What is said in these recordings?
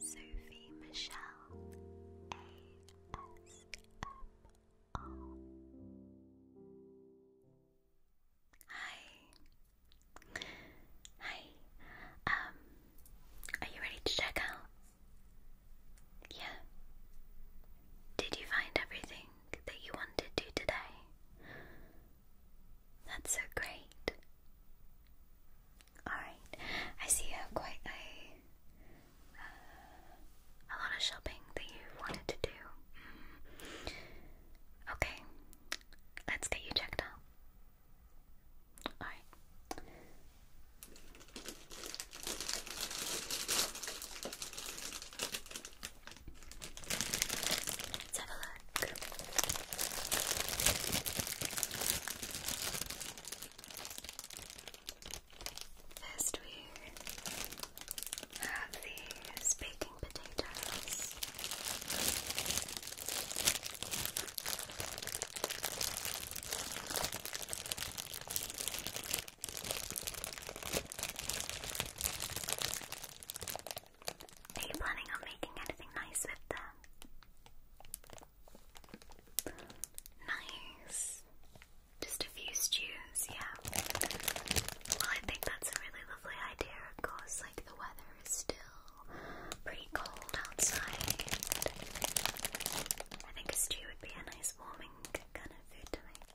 Sophie Michelle ASMR. Hi. Hi. Um, are you ready to check out? Yeah. Did you find everything that you wanted to today? That's so great. Alright, I see you have quite a, uh, a lot of shopping that you wanted to do. Mm. Okay, let's get you checked out. Alright black. First, we have these baking potatoes. Are you planning on making anything nice with them? Nice. Just a few stews, yeah. Well, I think that's a really lovely idea, of course. Like, the weather is still pretty cold outside. I think a stew would be a nice, warming kind of food to make.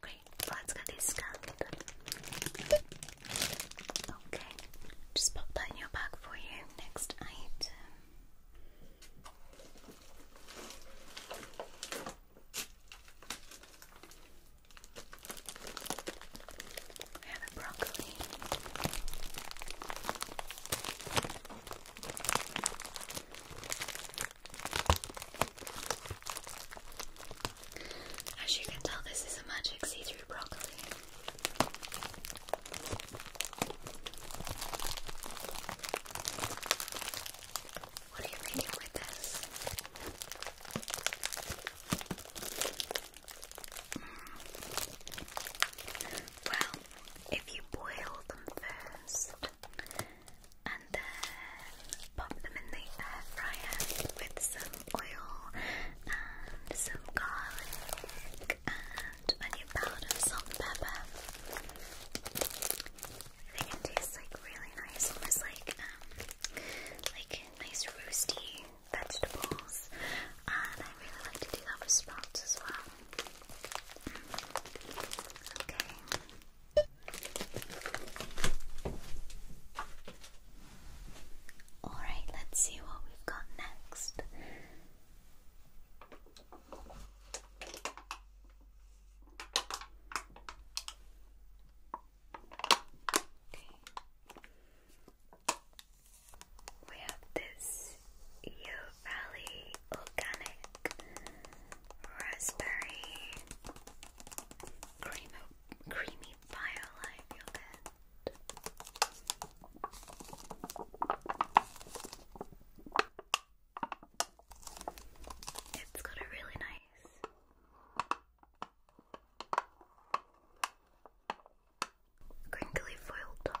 Great, let's get this scanned. Okay, just pop that in your bag for you. Next item. We have a broccoli. As you can tell, this is a magic see through broccoli. What do you mean with this? Hmm. Well, if you boil them first and then pop them in the air fryer with some oil and some garlic and onion powder, salt pepper. I think it tastes like really nice, almost like um like nice roasty vegetables. And I really like to do that with sprouts as well. Alright, let's see what we've got next. We have this Yo Valley organic raspberry cream creamy firelight It's got a really nice crinkly foil top.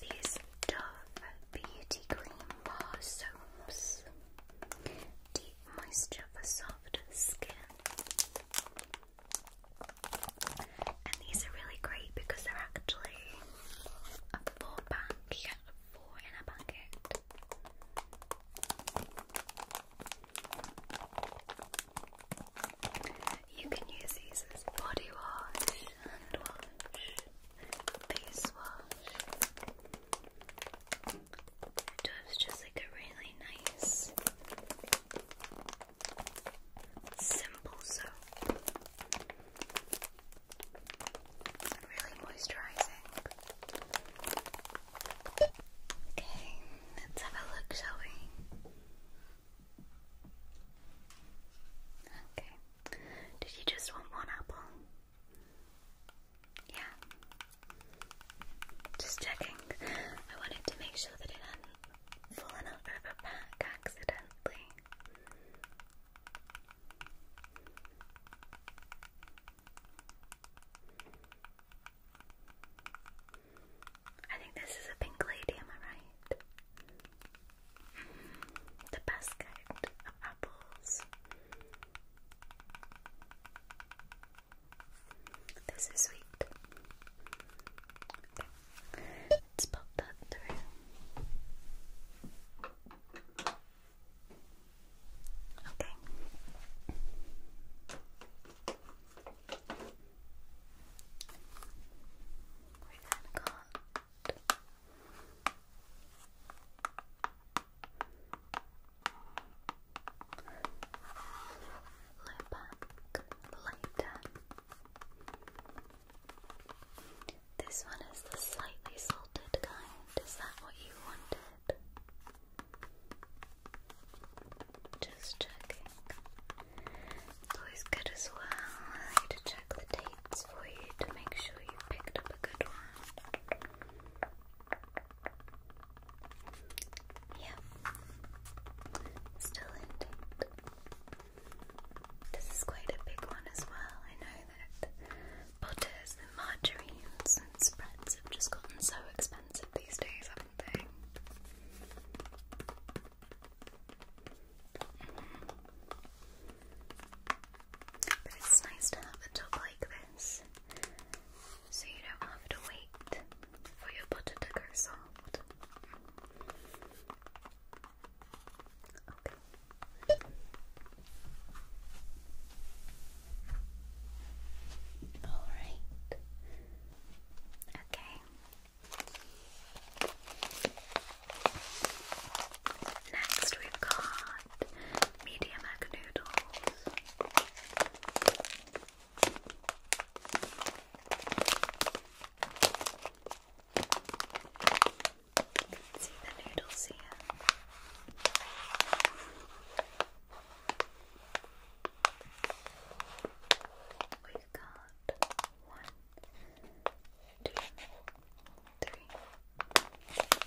These Dove Beauty Cream Bar Soaps. Deep moisture soft skin. And these are really great because they're actually a four pack. You four in a packet. You can use these as body wash, hand wash, face wash. does just like a really nice, simple soap. really moisturizing. Okay, let's have a look, shall we? Okay. Did you just want one apple? Yeah. Just checking. I wanted to make sure that it hadn't fallen over the back accidentally. I think this is a pink lady, am I right? The basket of apples. This is sweet. Let's pop that through. Okay. We're going Lepak Lighten. This one is the slightly salted kind. Is that what you wanted? Just checking. always good as well to check the dates for you to make sure you picked up up a Yep. Still intact. This is quite a big one as well. I know that butters and margarines and spreads have just gotten so expensive these days, haven't they? But it's nice to have a top like this so you don't have to wait for your butter to go soft. Alright. Okay. Next, we've got medium egg noodles. You can see the noodles here. We've got one, two, three,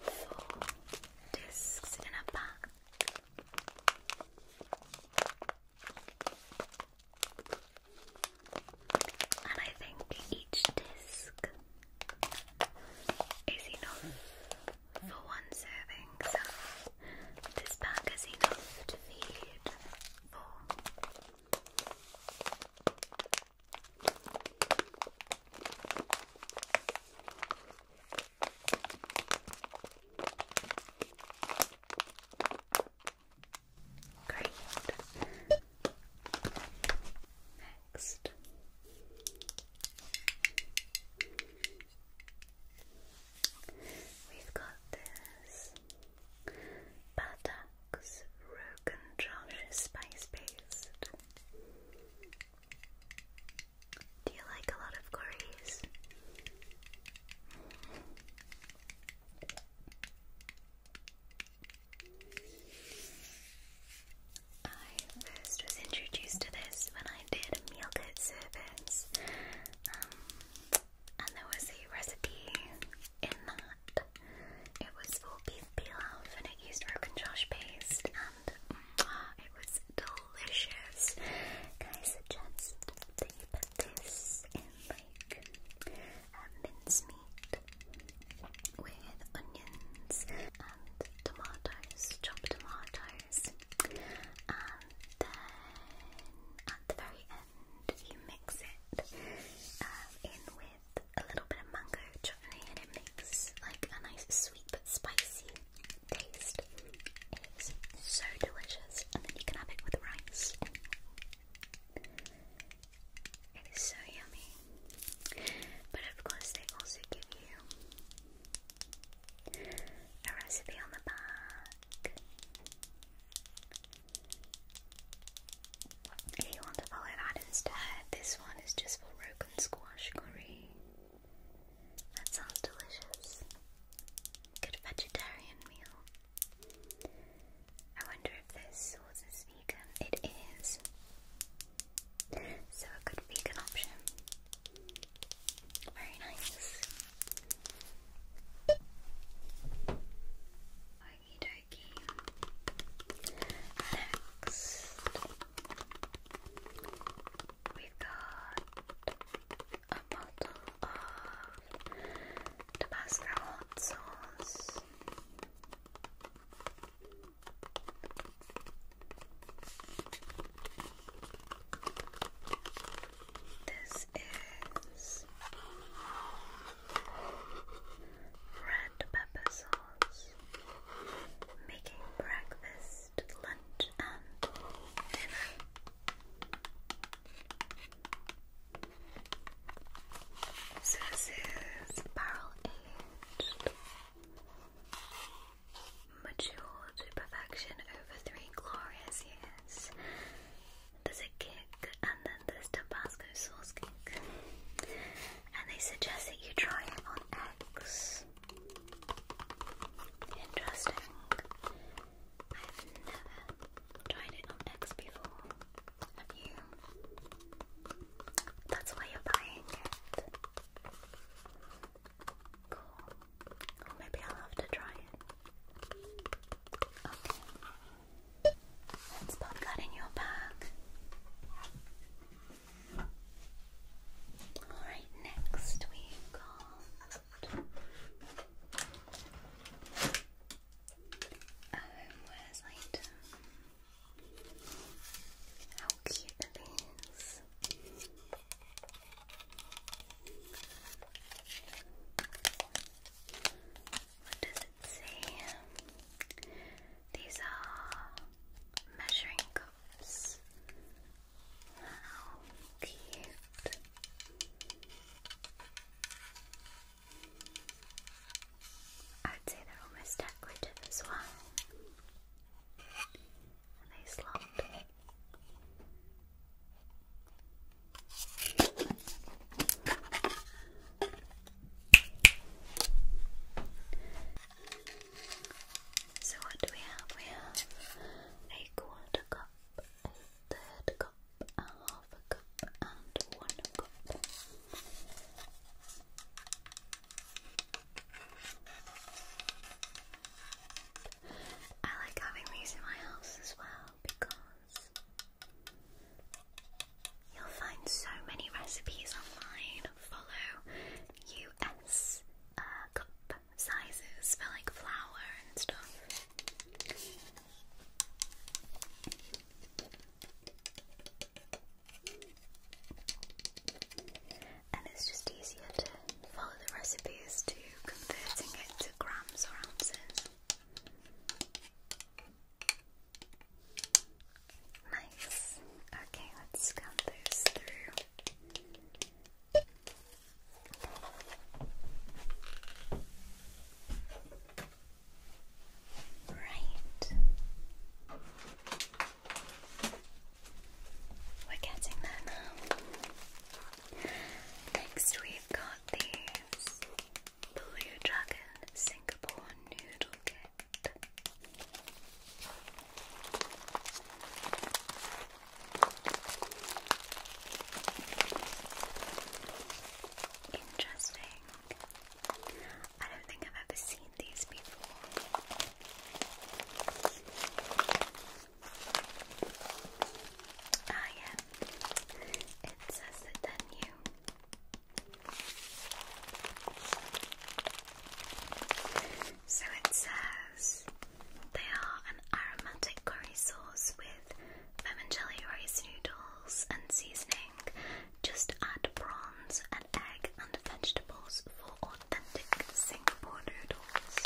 four discs in a pack. And I think each disc is enough for one serving, so this pack is enough to feed four. Great. Next. We've got this butter Relax Spice Paste. Do you like a lot of curries? I first was introduced to this when I did meal kit service, um, and there was a recipe in that. It was for beef pilaf and it used rogan josh paste and mwah, it was delicious. Can I suggest that you put this in like um, mincemeat with onions and tomatoes, chopped tomatoes and then at the very end you mix it um, in with a little bit of mango chutney and it makes like a nice sweet but spicy taste. It's so delicious and then you can have it with rice. It is so yummy. But of course they also give you a recipe on the back you want to follow that instead, this one is just for rogan squash curry. That sounds delicious. Good vegetarian meal. I wonder if this sauce vegan. It is. So a good option. Very nice. Okie dokie. Next, we've got a bottle of Tabasco hot sauce. This is red pepper sauce, making breakfast, lunch, and dinner. this is barrel aged, mature to perfection over three glorious years. There's a kick, and then there's Tabasco sauce kick and they suggest that you try it on X. Interesting. I've never tried it on eggs before. Have you? That's why you're buying it. Cool. maybe I'll have to try it. Okay. Let's pop that in your bag. Alright, next we've got a um, homewares item. How cute it is. What does it say? These are measuring cups. How cute. I'd say they're almost decorative as well. And they slot. So what do we have? We have a quarter cup, a third cup, a half a cup, and one cup. I like having these in my house as well because You'll find so many recipes online. Follow US uh, cup sizes for like flour and stuff. And it's just easier to follow the recipes to converting it to grams or ounces. Nice. Okay, let's count those through. Right. We're getting there now. Next, we've got these Blue Dragon Singapore Noodle pocket. Interesting. I don't think I've ever seen these before. Ah, yeah. It says that they so it says they are an aromatic curry sauce with vermicelli rice noodles and seasoning. Just add prawns, an egg, and vegetables for authentic Singapore noodles.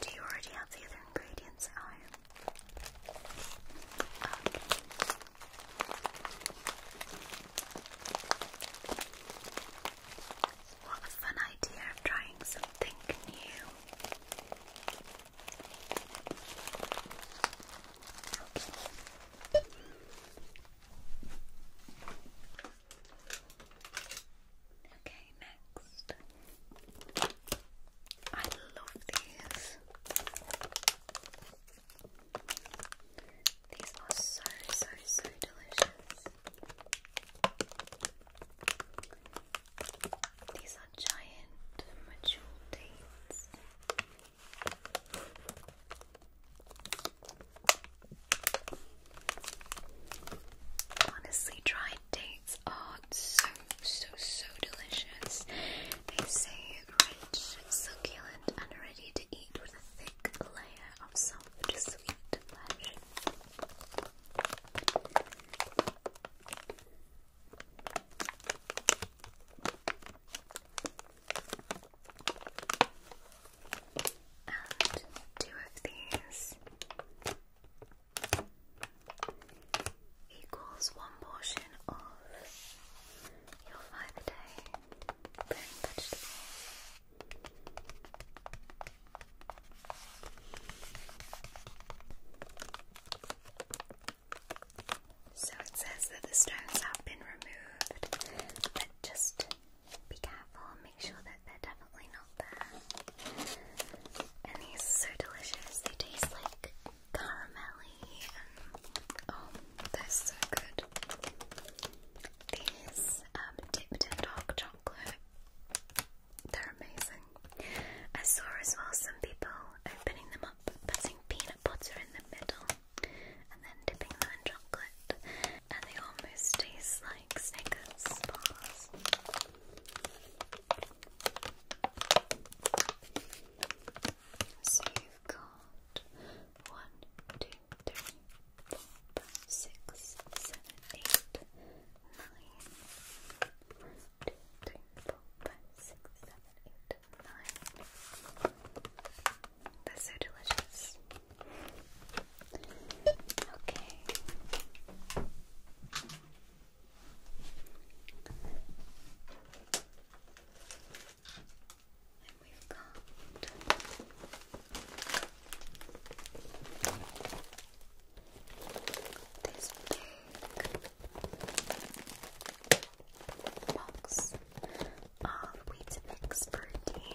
Do you already have the other ingredients what a fun idea trying something new. Okay, next. I love these. These are so, so, so delicious. These are giant mature dates. Honestly, dried dates these oh, so, so, so delicious. They say rich, succulent, and ready to eat with a thick layer of soft, sweet flesh. And two of these equals one portion of your five a day So it says that the stones have been removed, but just be careful and make sure that they're definitely not there. And these are so delicious, they taste like caramelly oh, they're so good. These um, dipped in dark chocolate, they're amazing. I saw as well some people opening them up, putting peanut butter in the middle, and then dipping them in chocolate, and they almost taste like Snickers bars. So you've got one, two, three, four, five, six, seven, eight, nine. One, two, three, four, five, six, seven, eight, nine. That's so delicious. Okay. And we've got this big box of Weeds protein.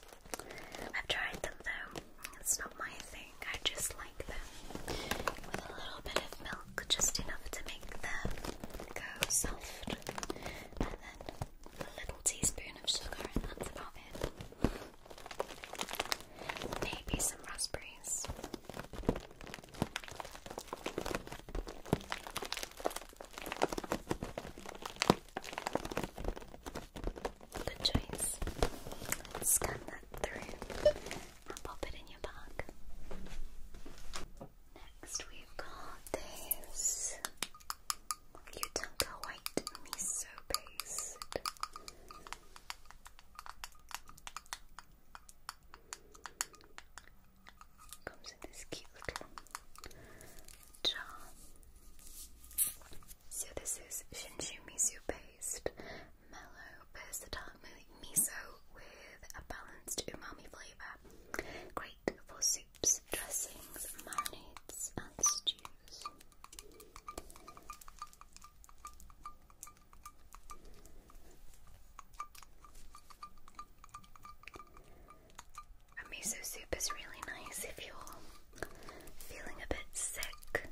I've tried them though. It's not my thing. I just like them with a little bit of milk, just enough to make them go soft, and then a little teaspoon of sugar, and that's about it. Maybe some raspberries. Good choice. Scan that through pop it in your bag. Next, we've got this Utanka White Miso Paste. Comes in this cute little jar. So this is Shinshu Miso paste, mellow, versatile miso with a balanced umami flavour. Great for soups, dressings, marinades and stews. A miso soup is really nice if you're feeling a bit sick.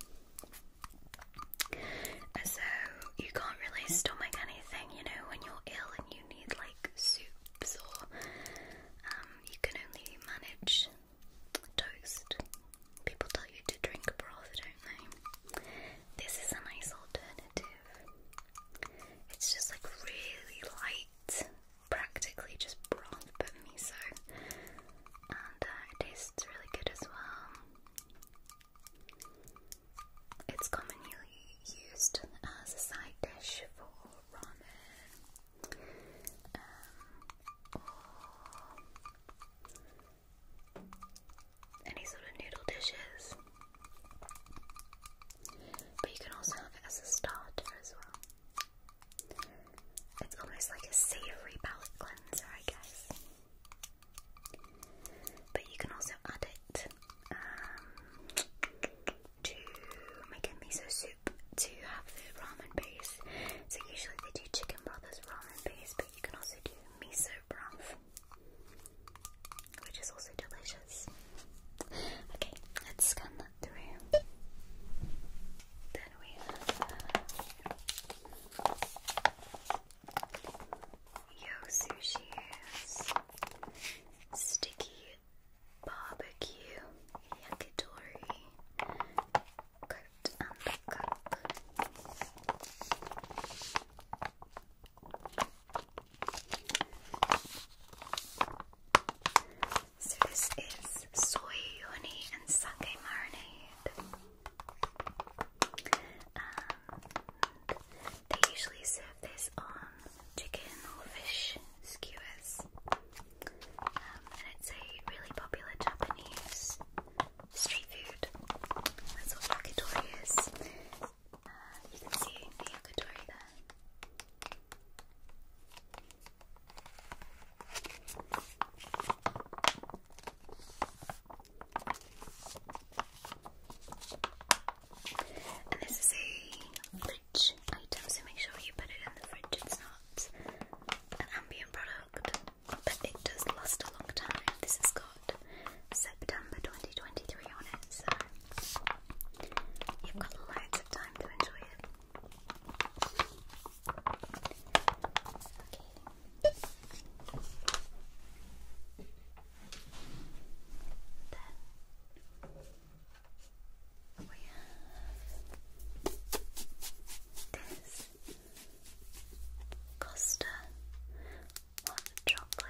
So you can't really stomach anything, you know, when you're ill and you need like soups or um, you can only manage toast. People tell you to drink broth, don't they? This is a nice alternative. It's just like really light, practically just broth but miso and uh, it tastes really good as well. It's commonly used as a side dish for ramen um, or any sort of noodle dishes. But you can also have it as a starter as well. It's almost like a savory palate cleanser, I guess. But you can also add it um, to make a miso soup to have the ramen base. So usually they do chicken brothers ramen base, but you can also do miso broth, which is also delicious. Okay, let's scan that through then we uh, Yo Sushi's Sticky Barbecue Yakitori Coat and Cook. So this is soy honey and sake marinade. Um, they usually serve this on chicken or fish skewers. Um, and it's a really popular Japanese street food. That's what yakitori is. Uh, you can see the yakitori there this is a fridge item, so make sure you put it in the fridge. It's not an ambient product, but it does last a long time. This has got September 2023 on it, so you've got lots of time to enjoy it. Then we have this Costa hot chocolate.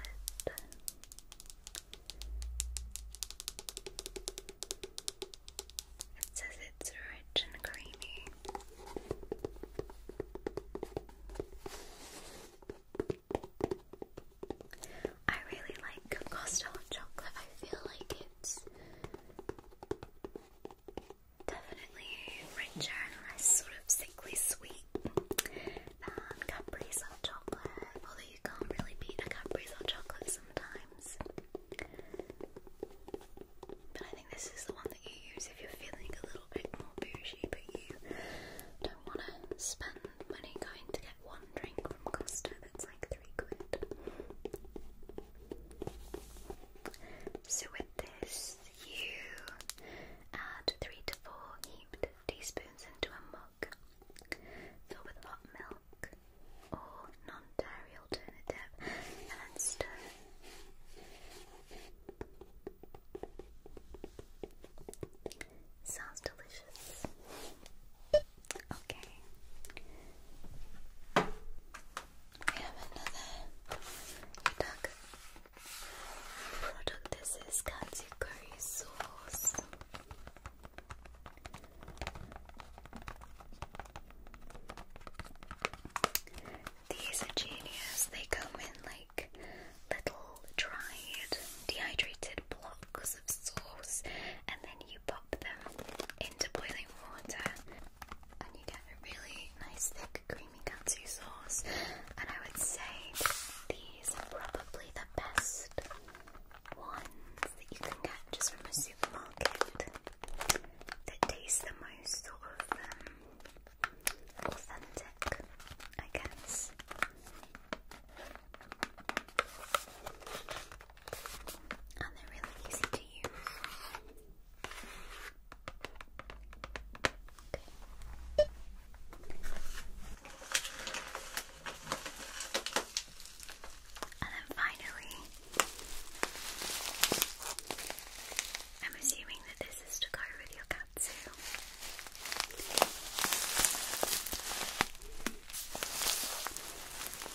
It says it's rich and creamy. I really like Costello chocolate. I feel like it's definitely richer and less sort of sickly sweet than Capri chocolate. Although you can't really beat a Capri chocolate sometimes. But I think this is the one that you use if you're feeling a little bit more bougie, but you don't want to spend money going to get one drink from Costa that's like three quid. So with this, you add three to four heaped teaspoons into a mug, fill with hot milk, or non-dairy alternative, and then stir. Sounds delicious. Okay. We have another product. This is katsu curry sauce. These are genius. They come in like little dried, dehydrated blocks of sauce, and then you pop them into boiling water, and you get a really nice, thick, creamy katsu sauce. And I would say these are probably the best ones that you can get just from a supermarket that taste the most sort of um, authentic, I guess. And they're really easy to use. And then finally, I'm assuming that this is to go with your katsu.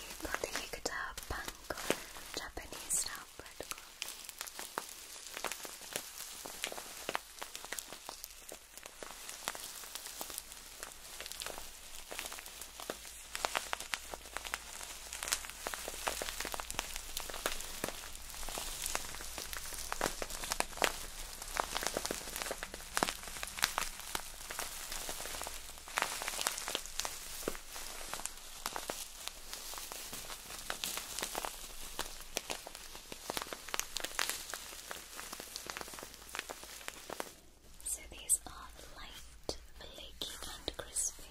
You got the Yukata Panko, Japanese style bread so these are light, flaky, and crispy.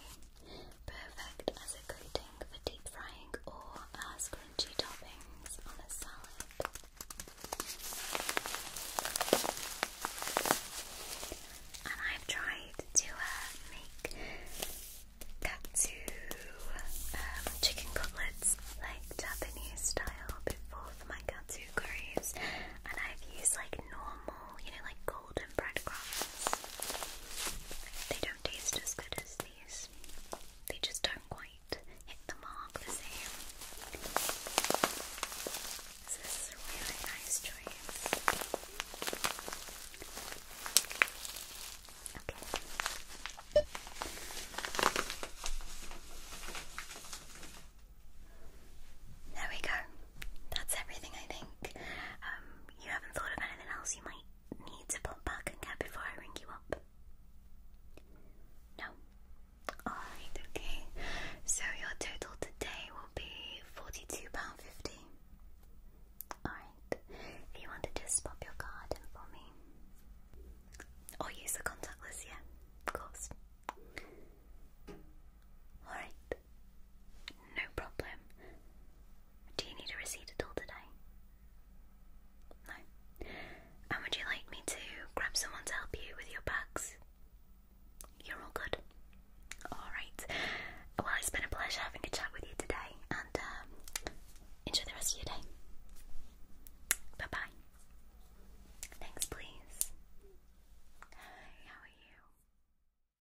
Perfect as a coating for deep frying or as uh, crunchy toppings on a salad. And I've tried to uh, make katsu um, chicken cutlets like Japanese style before my katsu curries, and I've used like normal, you know, like golden breadcrumbs. They don't taste as good as these. They just don't quite hit the mark the same. This is a really nice choice. There we go that's everything I think. Um, you haven't thought of anything else you might need to pop back and get before I ring you up? No? Alright, okay. So your total today will be £42.50. Alright. If you want to just pop your card in for me. Or use the contactless, yeah, of course. Alright. No problem. Do you need a receipt at all today? No. And would you like me to grab someone to help you with your bags? You're all good. Alright. Well, it's been a pleasure having a chat with you today, and um, enjoy the rest of your day. Bye bye. Thanks, please. Hi, how are you?